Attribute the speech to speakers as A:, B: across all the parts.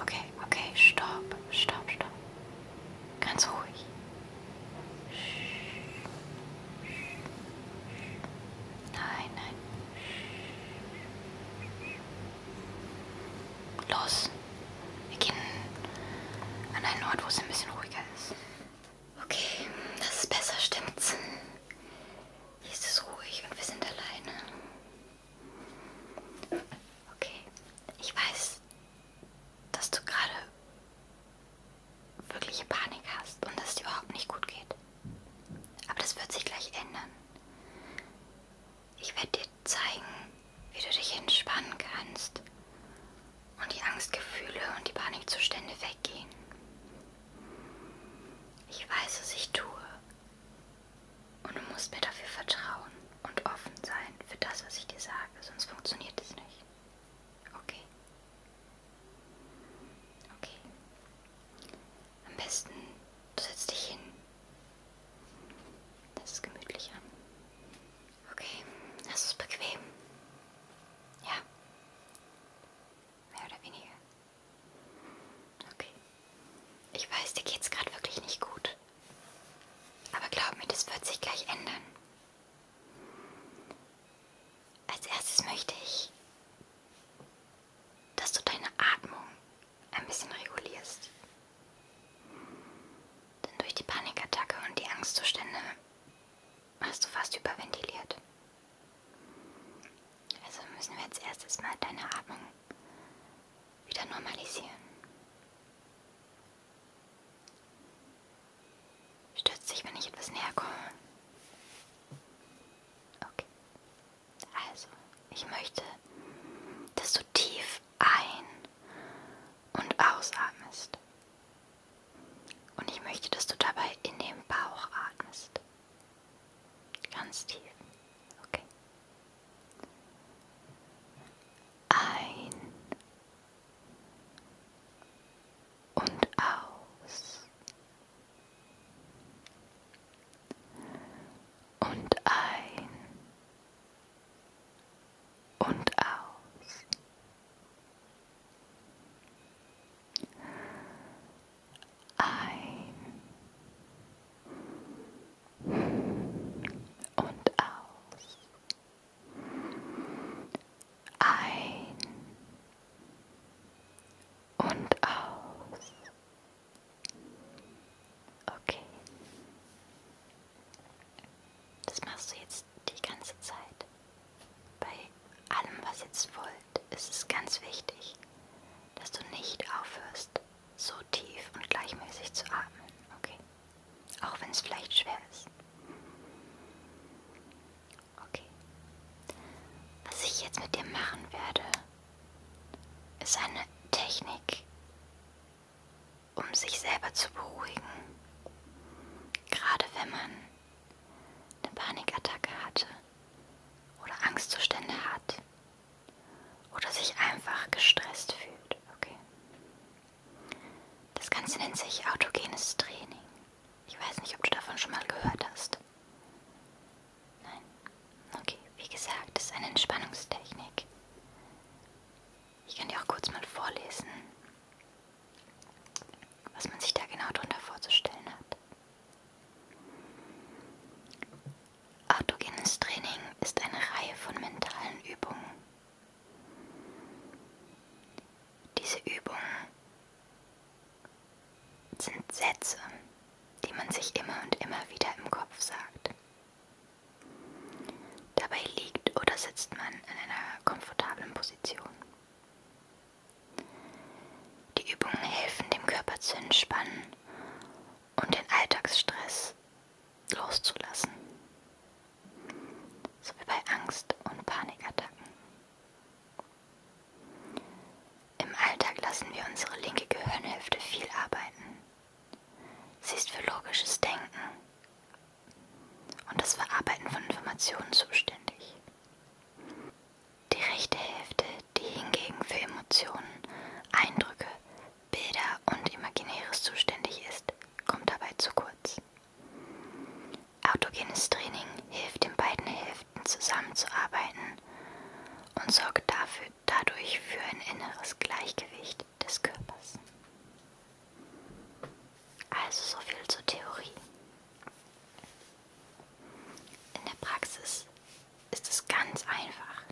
A: Okay, okay, stopp, stopp, stopp. Ganz ruhig. Nein, nein. Los. Wir gehen an einen Ort, wo es ein bisschen ruhiger ist. Okay, das ist besser, stimmt's? Hier ist es ruhig und wir sind alleine. Okay, ich weiß, dass du gerade wirkliche Panik hast und dass es dir überhaupt nicht gut geht. Aber das wird sich gleich ändern. Ich werde dir zeigen, wie du dich entspannen kannst und die Angstgefühle und die Panikzustände weggehen. Ich weiß, was ich tue. Und du musst mir dafür vertrauen und offen sein für das, was ich dir sage, sonst funktioniert es nicht. Okay. Okay. Am besten, du setzt dich hin. Das ist gemütlicher. Okay, das ist bequem. Ja. Mehr oder weniger. Okay. Ich weiß, dir geht's gerade wirklich nicht gut. Aber glaub mir, das wird sich gleich ändern. Als erstes möchte ich, dass du deine Atmung ein bisschen regulierst. Denn durch die Panikattacke und die Angstzustände hast du fast überventiliert. Also müssen wir jetzt erstes Mal deine Atmung wieder normalisieren. Stürzt dich, wenn ich etwas näher komme. Okay. Also, ich möchte, dass du tief ein- und ausatmest. Und ich möchte, dass du dabei in den Bauch atmest. Ganz tief. Okay. Ein und aus. Und ein und aus. Ein und aus. Ein und aus. Okay. Das machst du jetzt die ganze Zeit. Bei allem, was jetzt folgt, ist es ganz wichtig, dass du nicht aufhörst, so tief und gleichmäßig zu atmen, okay? Auch wenn es vielleicht schwer ist. Okay. Was ich jetzt mit dir machen werde, ist eine Technik, um sich selber zu beruhigen. Gerade wenn man eine Panikattacke hatte oder Angstzustände hat oder sich einfach gestresst fühlt. Okay. Das Ganze nennt sich autogenes Training. Ich weiß nicht, ob du davon schon mal gehört hast. Nein. Okay, wie gesagt, das ist eine Entspannungstechnik. Ich kann dir auch kurz mal vorlesen, was man sich da genau drunter vorzustellen hat. Autogenes Training ist eine Reihe von mentalen Übungen. Diese Übungen sind Sätze, die man sich immer und immer wieder im Kopf sagt. Dabei liegt oder sitzt man in einer komfortablen Position. Die Übungen helfen dem Körper zu entspannen und den Alltagsstress loszulassen, sowie bei Angst- und Panikattacken. Im Alltag lassen wir unsere linke Gehirnhälfte viel arbeiten. Sie ist für logisches Denken, und das Verarbeiten von Informationen zuständig. Die rechte Hälfte, die hingegen für Emotionen, Eindrücke, Bilder und Imaginäres zuständig ist, kommt dabei zu kurz. Autogenes Training hilft den beiden Hälften zusammenzuarbeiten und sorgt dafür, dadurch für ein inneres Gleichgewicht des Körpers. Also so viel zur Theorie. In der Praxis ist es ganz einfach.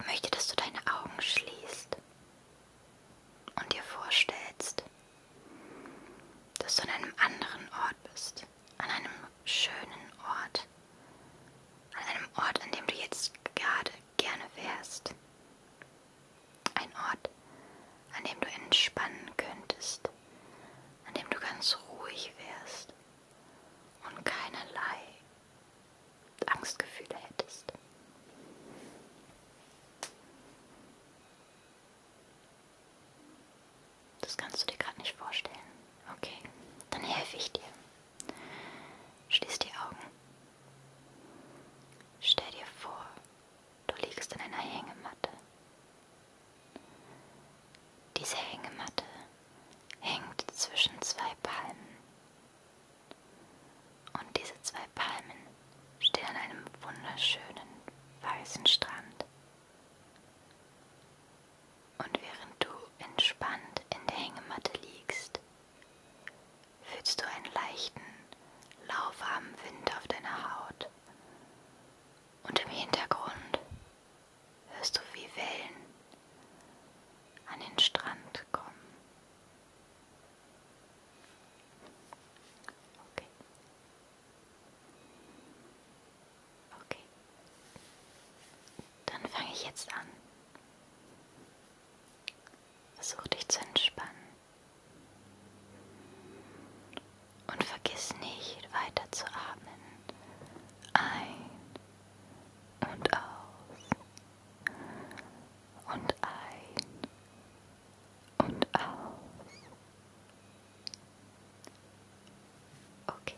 A: Ich möchte, dass du deine Augen schließt und dir vorstellst, dass du an einem anderen Ort bist, an einem schönen Ort, an einem Ort, an dem du jetzt gerade gerne wärst, ein Ort, an dem du entspannen könntest, an dem du ganz ruhig wärst und keinerlei Angstgefühle hättest. Das kannst du dir gerade nicht vorstellen. Okay, dann helfe ich dir. Schließ die Augen. Stell dir vor, du liegst in einer Hängematte. Diese Hängematte hängt zwischen zwei Palmen. Und diese zwei Palmen stehen an einem wunderschönen weißen Strand. Und während du entspannt in der Hängematte liegst, fühlst du einen leichten, lauwarmen Wind auf deiner Haut. Und im Hintergrund hörst du, wie Wellen an den Strand kommen. Okay. Okay. Dann fange ich jetzt an. Versuch dich zu entspannen. Und vergiss nicht weiter zu atmen. Ein und aus. Und ein und aus. Okay.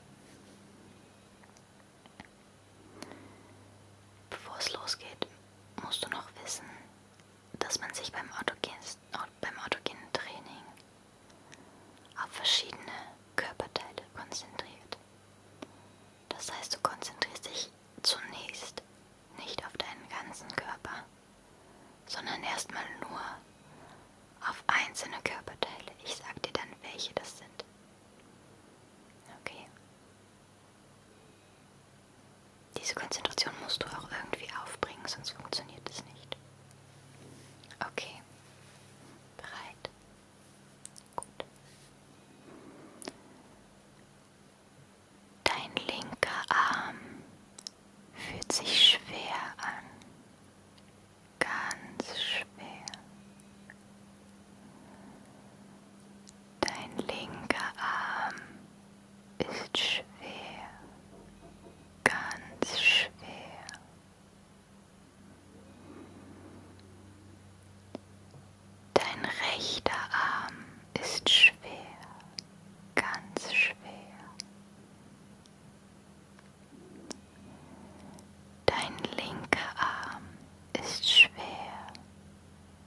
A: Bevor es losgeht, musst du noch wissen, dass man sich beim, autogen, beim autogenen Training auf verschiedene Körperteile konzentriert. Das heißt, du konzentrierst dich zunächst nicht auf deinen ganzen Körper, sondern erstmal nur auf einzelne Körperteile. Ich sag dir dann, welche das sind. Okay. Diese Konzentration musst du auch irgendwie aufbringen, sonst funktioniert es nicht. Okay. Bereit. Gut. Dein linker Arm fühlt sich schwer an ganz schwer. Dein linker Arm ist schwer, ganz schwer. Dein rechter Arm ist schwer, ganz schwer. Dein linker Arm ist schwer,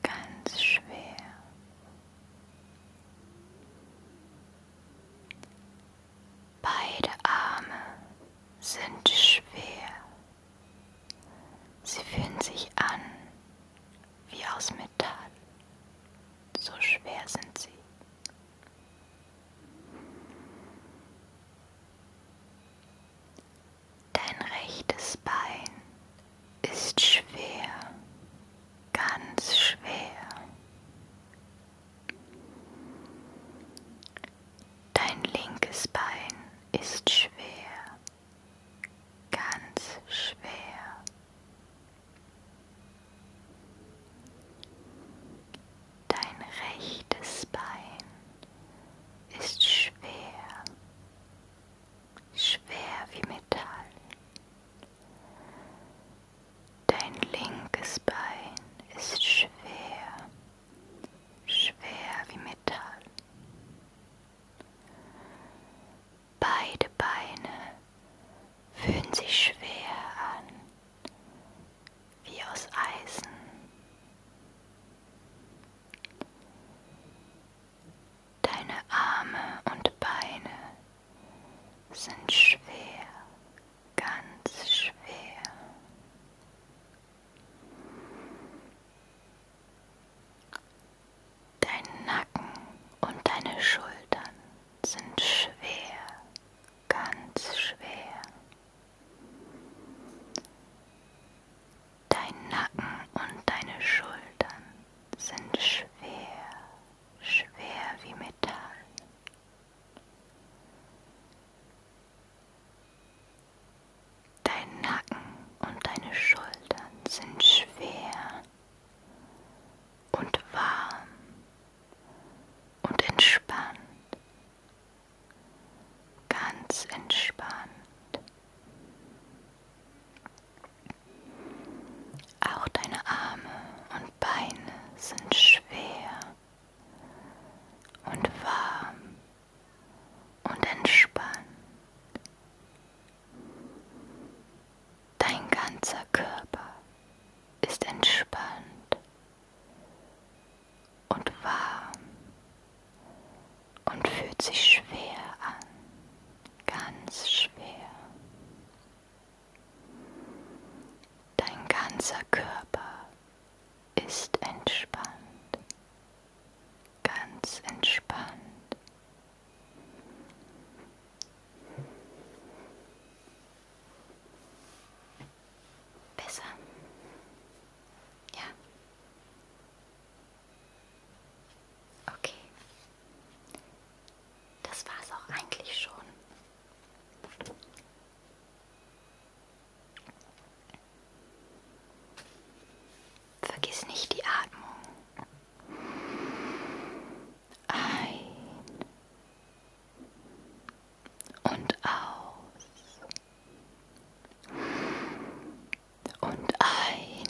A: ganz schwer. Beide Arme sind schwer. Sie fühlen sich an wie aus Metall. So schwer sind sie. Dein rechtes Bein ist schwer, ganz schwer. Dein linkes Bein ist schwer, ganz schwer. Dein rechtes Bein ist schwer, schwer wie Metall. Dein linkes Bein ist schwer, schwer wie Metall. Beide Beine fühlen sich schwer an, wie aus Eisen. Deine Arme und Beine sind schwer, ganz schwer. Dein Nacken und deine Schultern sind schwer, ganz schwer. Dein Nacken und deine Schultern sind schwer, schwer wie Metall. Dein Nacken und deine Schultern sind schwer und warm und entspannt, ganz entspannt. Auch deine Arme und Beine sind schwer und warm und entspannt. Dein ganzer Körper ist entspannt und warm und fühlt sich schwer an, ganz schwer. Dein ganzer Körper ist entspannt, ganz entspannt. Besser. Ja. Okay. Das war's auch eigentlich schon. Vergiss nicht die Atmung. Ein und aus und ein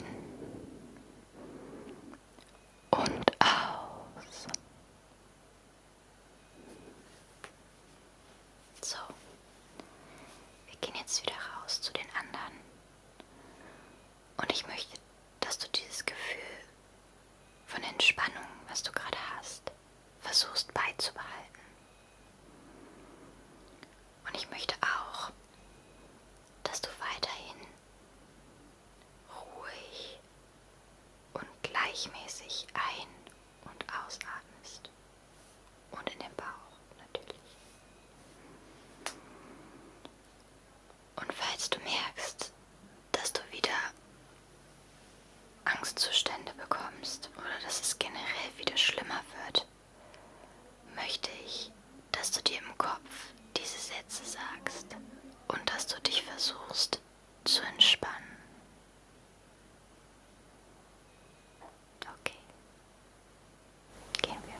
A: und aus. So, wir gehen jetzt wieder raus zu den anderen und ich möchte, dass du dieses Gefühl von Entspannung, was du gerade hast, versuchst beizubehalten. Und ich möchte auch, dass du weiterhin ruhig und gleichmäßig ein- und ausatmest. Und in den Bauch natürlich. Und falls du merkst, dass du wieder Angstzustände bekommst oder dass es generell wieder schlimmer wird, möchte ich, dass du dir im Kopf diese Sätze sagst und dass du dich versuchst zu entspannen. Okay, gehen wir.